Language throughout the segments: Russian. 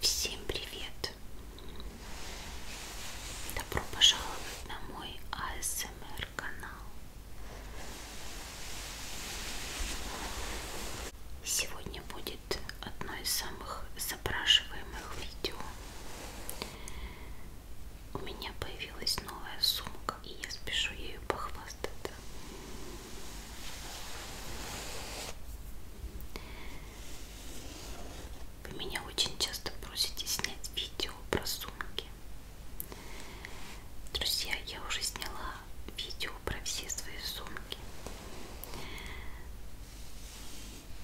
Всем привет! Добро пожаловать на мой АСМР канал. Сегодня будет одно из самых запрашиваемых видео. У меня появилась новая сумка, и я спешу ею похвастаться. Вы меня очень часто просите снять видео про сумки. Друзья, я уже сняла видео про все свои сумки.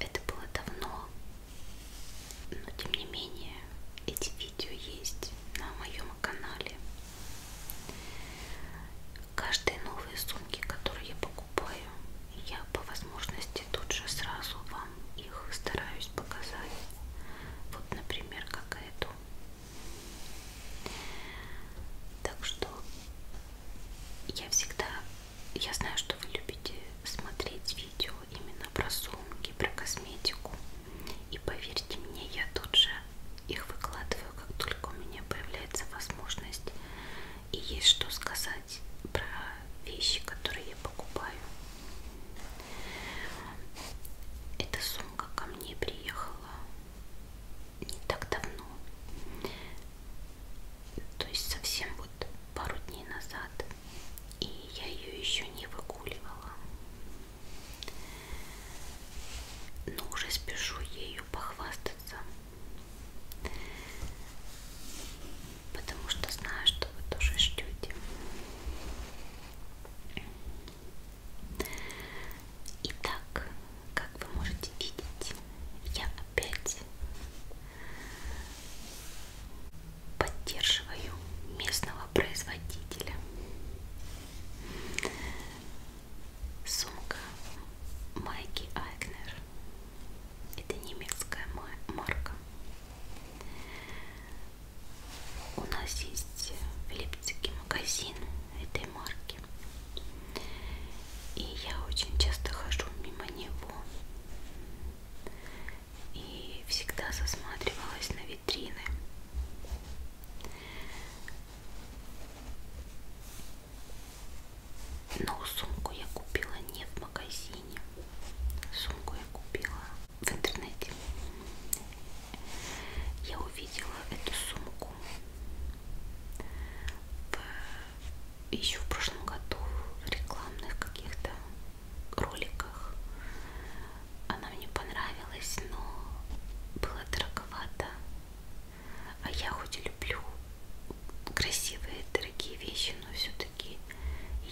Это было давно, но тем не менее эти видео есть на моем канале. Каждые новые сумки, которые я покупаю, я по возможности тут же сразу вам их стараюсь показать. Вот, например, как эту. Так что я всегда, я знаю, что вы любите смотреть видео именно про сумки, про косметику. И поверьте мне, я тут же их выкладываю, как только у меня появляется возможность и есть что сказать про вещи, которые я покупаю. Эта сумка ко мне приехала не так давно. То есть совсем вот пару дней назад. И я ее еще не выгуливала. Но ну, уже спешу ею похвастаться. Потому что знаю, что вы тоже ждете. Итак, как вы можете видеть, я опять поддерживаю местного производителя. Сумка Майки Айгнер. Это немецкая марка. У нас есть в Липцике магазин этой марки. И я очень часто хожу мимо него. И всегда засматривалась на витрины. Но ну, сумку я купила не в магазине. Сумку я купила в интернете. Я увидела эту сумку в... еще в прошлом году в рекламных каких-то роликах она мне понравилась, но было дороговато. А я хоть и люблю красивые, дорогие вещи, но все-таки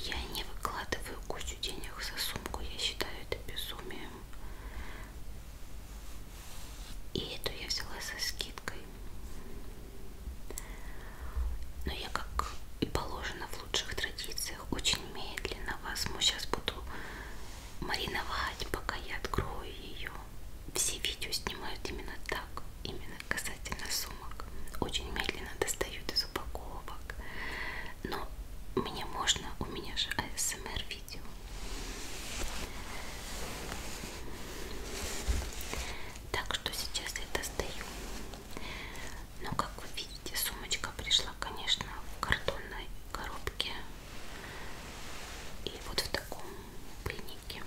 я не выкладываю кучу денег за сумку. Я считаю это безумием. И эту я взяла со скидкой. Но я, как и положено в лучших традициях, очень медленно возьму. Сейчас буду мариновать, пока я открою ее. Все видео снимают именно так, именно касательно сумок. Очень медленно достают из упаковок. Но мне можно, у меня же АСМР видео. Так что сейчас я достаю. Но как вы видите, видите, сумочка пришла, конечно, в картонной коробке и вот в таком пыльнике.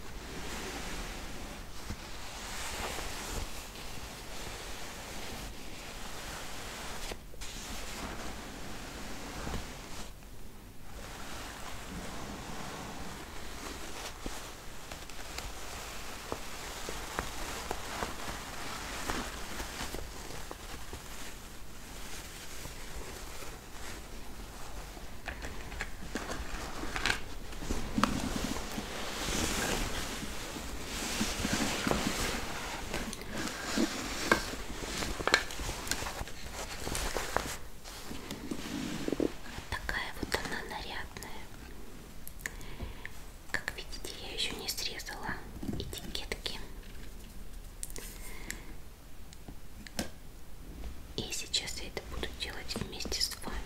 Вот такая вот она нарядная. Как видите, я еще не срезала этикетки. И сейчас я это буду делать вместе с вами.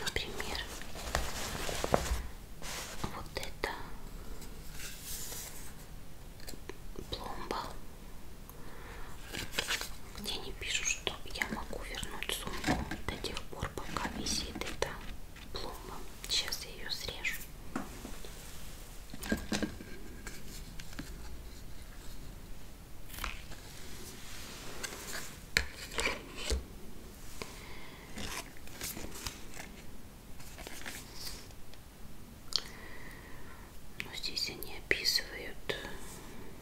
Например, вот это пломба где они пишут, что я могу вернуть сумку до тех пор, пока висит эта пломба. Сейчас я ее срежу. Но здесь они описывают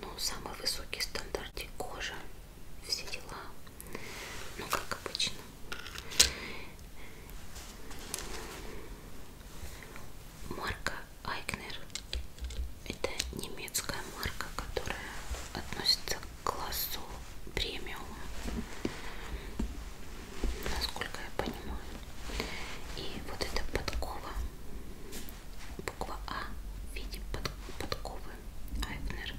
Ну, самый высокий стандартик кожи, все дела. Ну, как обычно. Марка Айкнер. Это немецкая марка, которая относится к классу премиум. Насколько я понимаю. И вот эта подкова, буква А в виде под, подковы Айфнер,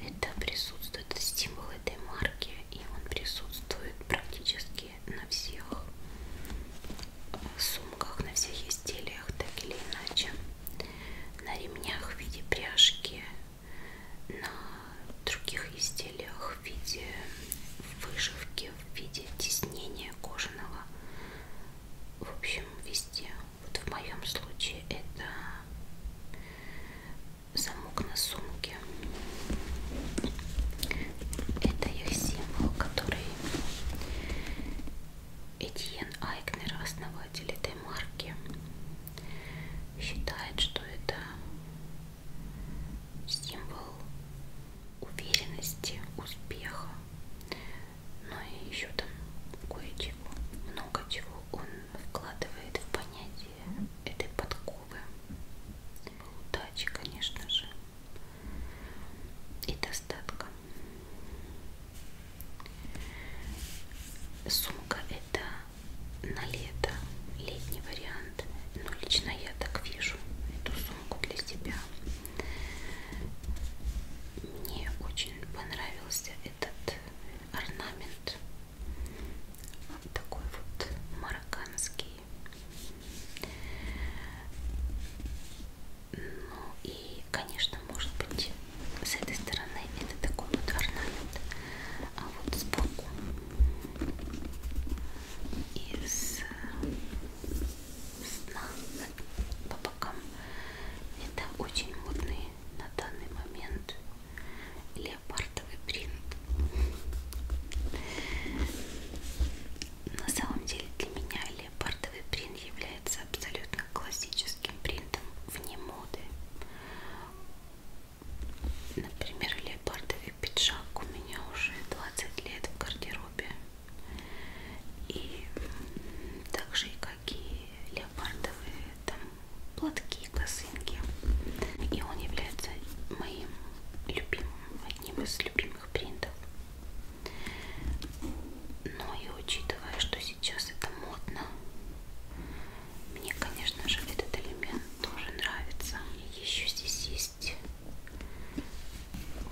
это присутствует символ этой марки, и он присутствует практически на всех э, сумках, на всех изделиях, так или иначе, на ремнях в виде пряжки, на других изделиях узорах в виде вышивки, в виде тиснения кожаного. В общем, везде. Вот в моем случае это замок на сумке. Это их символ, который Этьен Айкнер, основатель этой марки, считает, что это символ уверенности, успеха, но ну и еще там кое-чего, много чего он вкладывает в понятие этой подковы. Удачи, конечно же, и достатка. Сумка это на лето, летний вариант, но лично я я так вижу эту сумку для себя. Мне очень понравился этот орнамент. Такой вот марокканский. Ну и, конечно, может быть, с этой стороны это такой вот орнамент. А вот сбоку из э, сна по бокам. Это очень модный на данный момент леопардовый принт. На самом деле для меня леопардовый принт является абсолютно классическим принтом вне моды. Например, леопардовый пиджак у меня уже 20 лет в гардеробе. И также и какие леопардовые там платки, косынки. И он является моим любимым, одним из любимых принтов. Но ну и учитывая, что сейчас это модно, мне, конечно же, этот элемент тоже нравится. Еще здесь есть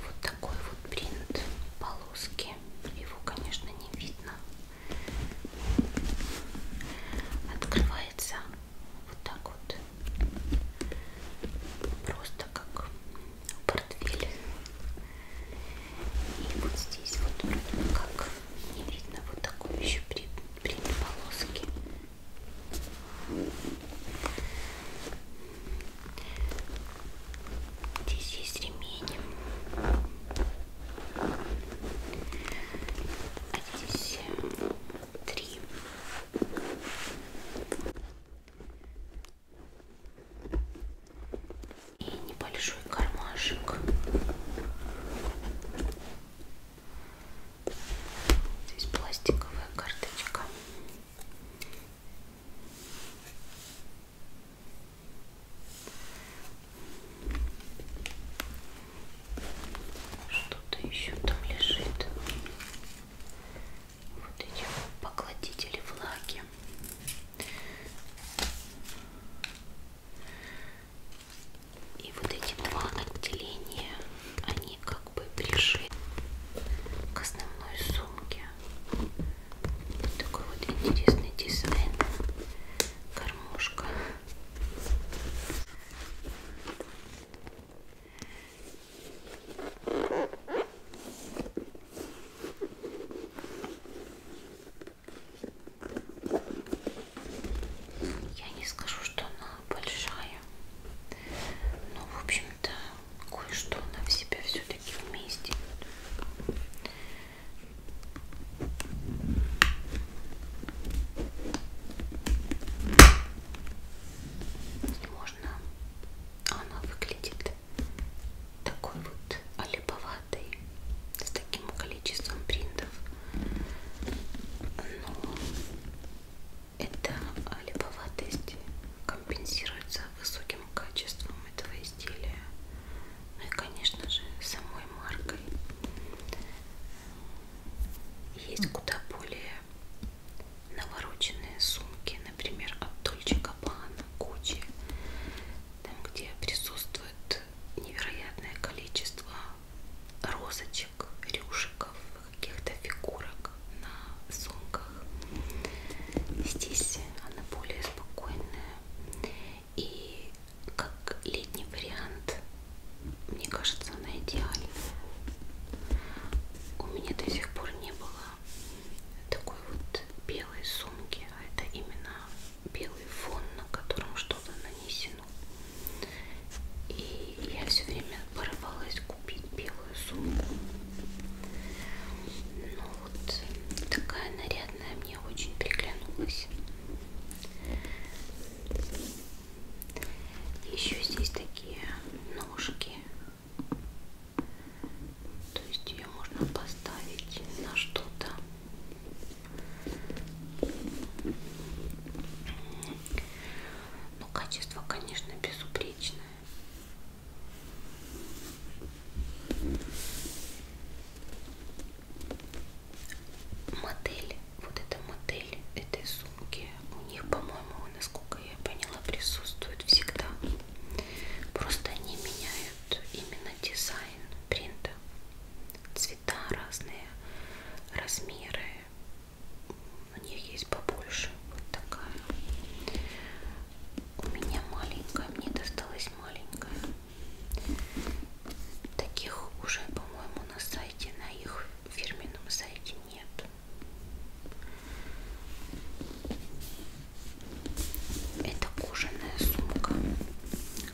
вот такой вот принт полоски. Его, конечно, не видно. Открывается вот так вот. Просто как портфель. И вот здесь вот вроде как не видно вот такой еще принт полоски. Здесь есть ремень. А здесь э, три. И небольшой кармашек. Здесь пластиковая карточка. Что-то еще там лежит. Вот эти покладители влаги. И вот эти два отделения, они как бы пришли к основной сумке. Вот такой вот интересный дизайн. Кормушка. Я не скажу, что она большая, но, в общем-то, кое-что она в себя все-таки вместе. Можно, она выглядит такой вот олиповатой, с таким количеством принтов. Но эта липоватость компенсируется высоким качеством этого изделия. Ну и, конечно же, самой маркой. Есть куда более навороченные сумки, например, от Dolce Gabbana, Gucci, там, где присутствует невероятное количество розочек, рюшиков, каких-то фигурок на сумках. Здесь она более спокойная. И как летний вариант, мне кажется, она идеальная. У меня до сих пор не было такой вот белой сумки, а это именно белый фон, на котором что-то нанесено. И я все время порывалась купить белую сумку. Но ну вот такая нарядная мне очень приглянулась. Еще здесь такие ножки. То есть ее можно поставить на что-то. Ну, качество, конечно, безупречное. Модель, вот эта модель этой сумки, у них, по-моему, насколько я поняла, присутствует всегда. Просто они меняют именно дизайн принта цвета разные, размеры. У них есть побольше. Вот такая. У меня маленькая, мне досталась маленькая. Таких уже, по-моему, на сайте, на их фирменном сайте нет. Это кожаная сумка.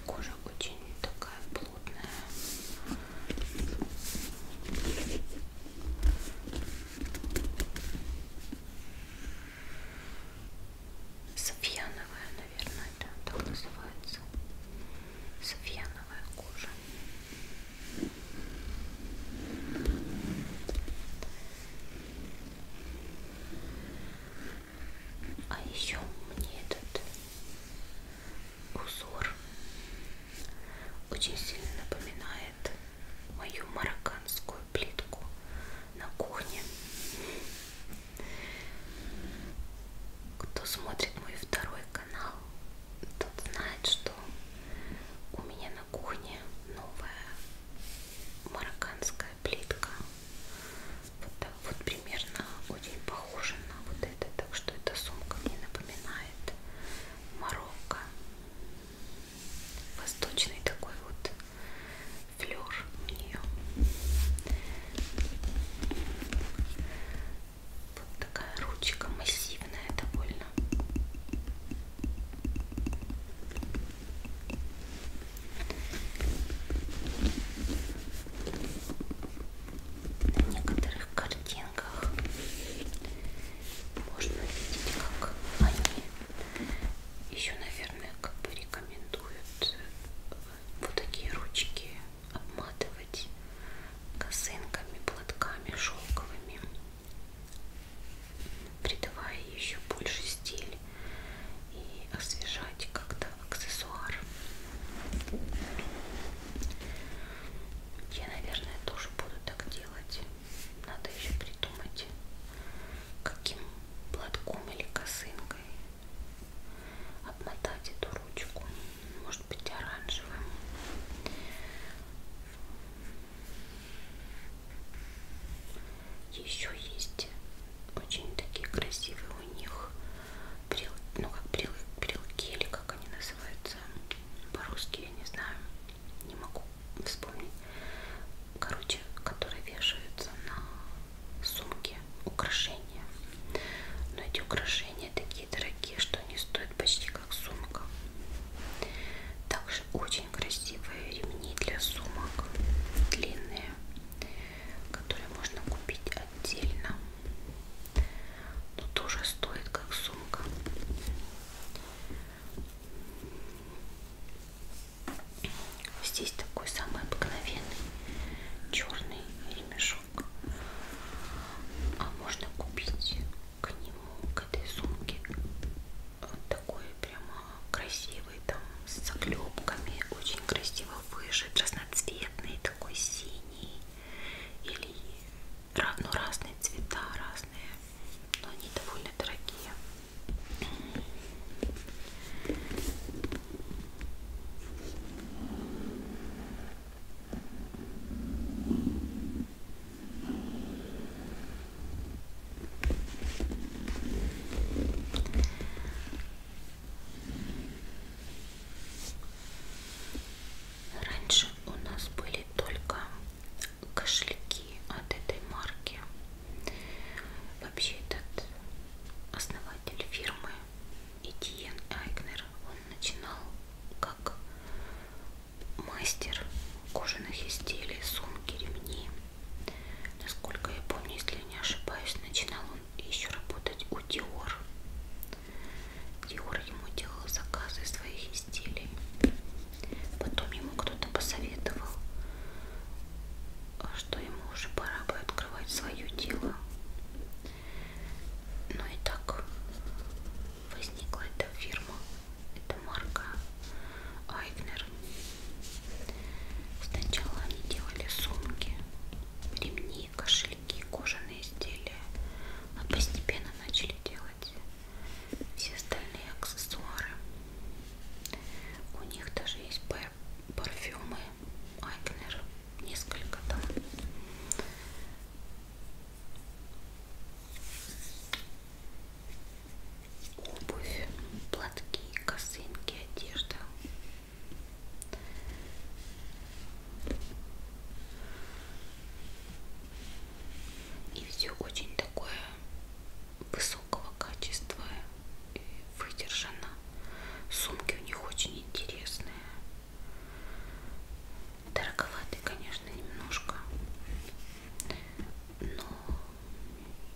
Кожа очень такая холодная. Софьяновая, наверное, это так называется. Софьяновая кожа. А еще мне этот узор очень сильно напоминает мою марокканскую плитку на кухне. Кто смотрит мой второй канал, тот знает, что у меня на кухне новая марокканская плитка. Вот, вот примерно очень похоже на вот это, так что эта сумка мне напоминает Марокко. Восточный такой вот флер у нее. Вот такая ручка массивная довольно на некоторых картинках можно видеть, как они еще, наверное, как бы рекомендуют э, вот такие ручки обматывать косынками, платками шелковыми, придавая еще больше стиль и освежать как-то аксессуар. Я, наверное, тоже буду так делать. Надо еще придумать, каким платком или косынкой обмотать эту ручку. Может быть, оранжевым. Еще есть очень такие красивые у них брел, ну как брел, брелки или как они называются по-русски, я не знаю, не могу вспомнить. Короче, которые вешаются на сумки украшения. Но эти украшения такие дорогие, что они стоят почти как сумка. Также очень красивые ремни для сумок, длинные, которые можно купить отдельно. Но тоже стоит как сумка. Здесь такой самый обыкновенный черный ремешок. А можно купить к нему, к этой сумке, вот такой прямо красивый там с заклепками, очень красиво выжит, разноцветный, такой синий или ну, разные цвета, разные, но они довольно дорогие. Раньше у нас были только кошельки от этой марки. Вообще этот основатель фирмы Этьен Айгнер, он начинал как мастер кожаных изделий, сумки, ремни. Насколько я помню, если не ошибаюсь, начинал и еще работать у Диор. Диор ему делал заказы своих изделий. Потом ему кто-то посоветовал, что ему уже пора бы открывать свое дело. Ну и так возникла эта фирма, эта марка Айгнер. Сначала они делали сумки, ремни, кошельки, кожаные изделия, а постепенно начали делать все остальные аксессуары. У них даже есть пар парфюмы, Айкнер, несколько там. Обувь, платки, косынки, одежда, и все очень такое высокого качества, выдержано. Сумки у них очень интересные. Дороговатые, конечно, немножко, но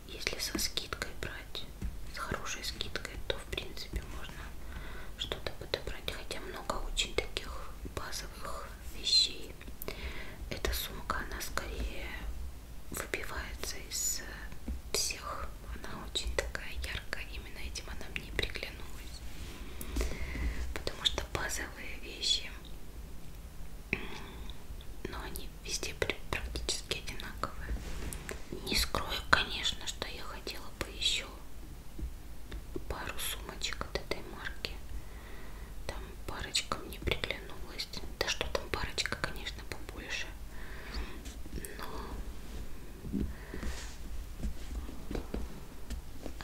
если со скидкой брать, с хорошей скидкой, то в принципе можно что-то подобрать. Хотя много очень таких базовых вещей. Эта сумка, она скорее выбивается из всех. Она очень такая яркая. Именно этим она мне приглянулась. Потому что базовые вещи, но ну, они везде практически одинаковые. Не скрою, конечно, что я хотела бы еще пару сумочек от этой марки. Там парочка мне приглянулась. Да что там парочка, конечно, побольше. Но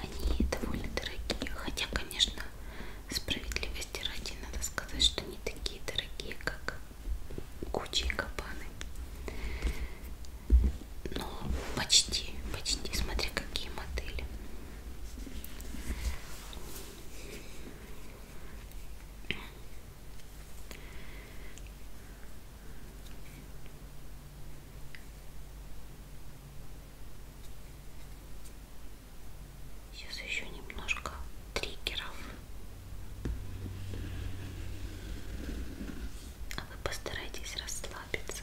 они довольно дорогие. Хотя, конечно, справедливости ради надо сказать, что не такие дорогие, как Гуччи и Кабаны. Ну, почти, почти. Смотри, какие модели. Сейчас еще немножко триггеров. А вы постарайтесь расслабиться.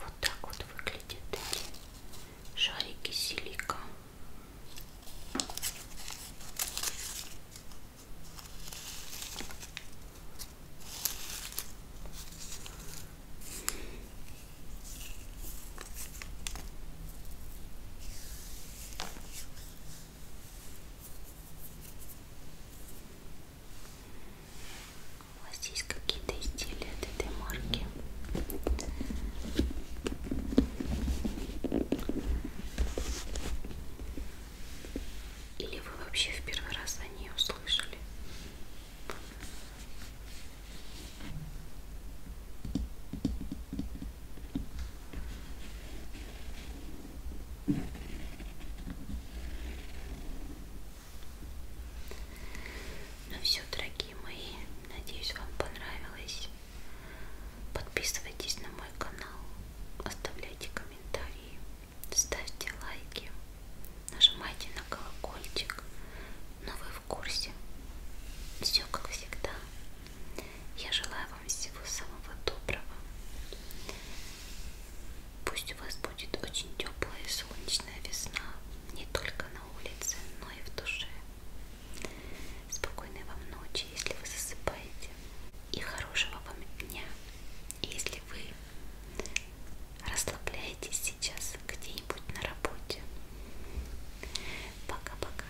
Вот так вот выглядят эти шарики силика. У вас есть какие-то изделия от этой марки? Или вы вообще в первый раз о ней услышали? Ну все, дорогие мои, надеюсь, вам понравилось. Подписывайтесь на мой канал, оставляйте комментарии, ставьте лайки, нажимайте на колокольчик, но вы в курсе. Все как всегда. Я желаю вам всего самого доброго. Пусть у вас будет очень теплая и солнечная весна, не только на улице, но и в душе. Спокойной вам ночи, если вы засыпаете, и хорошего вам дня, если вы расслабляетесь сейчас где-нибудь на работе. Пока-пока.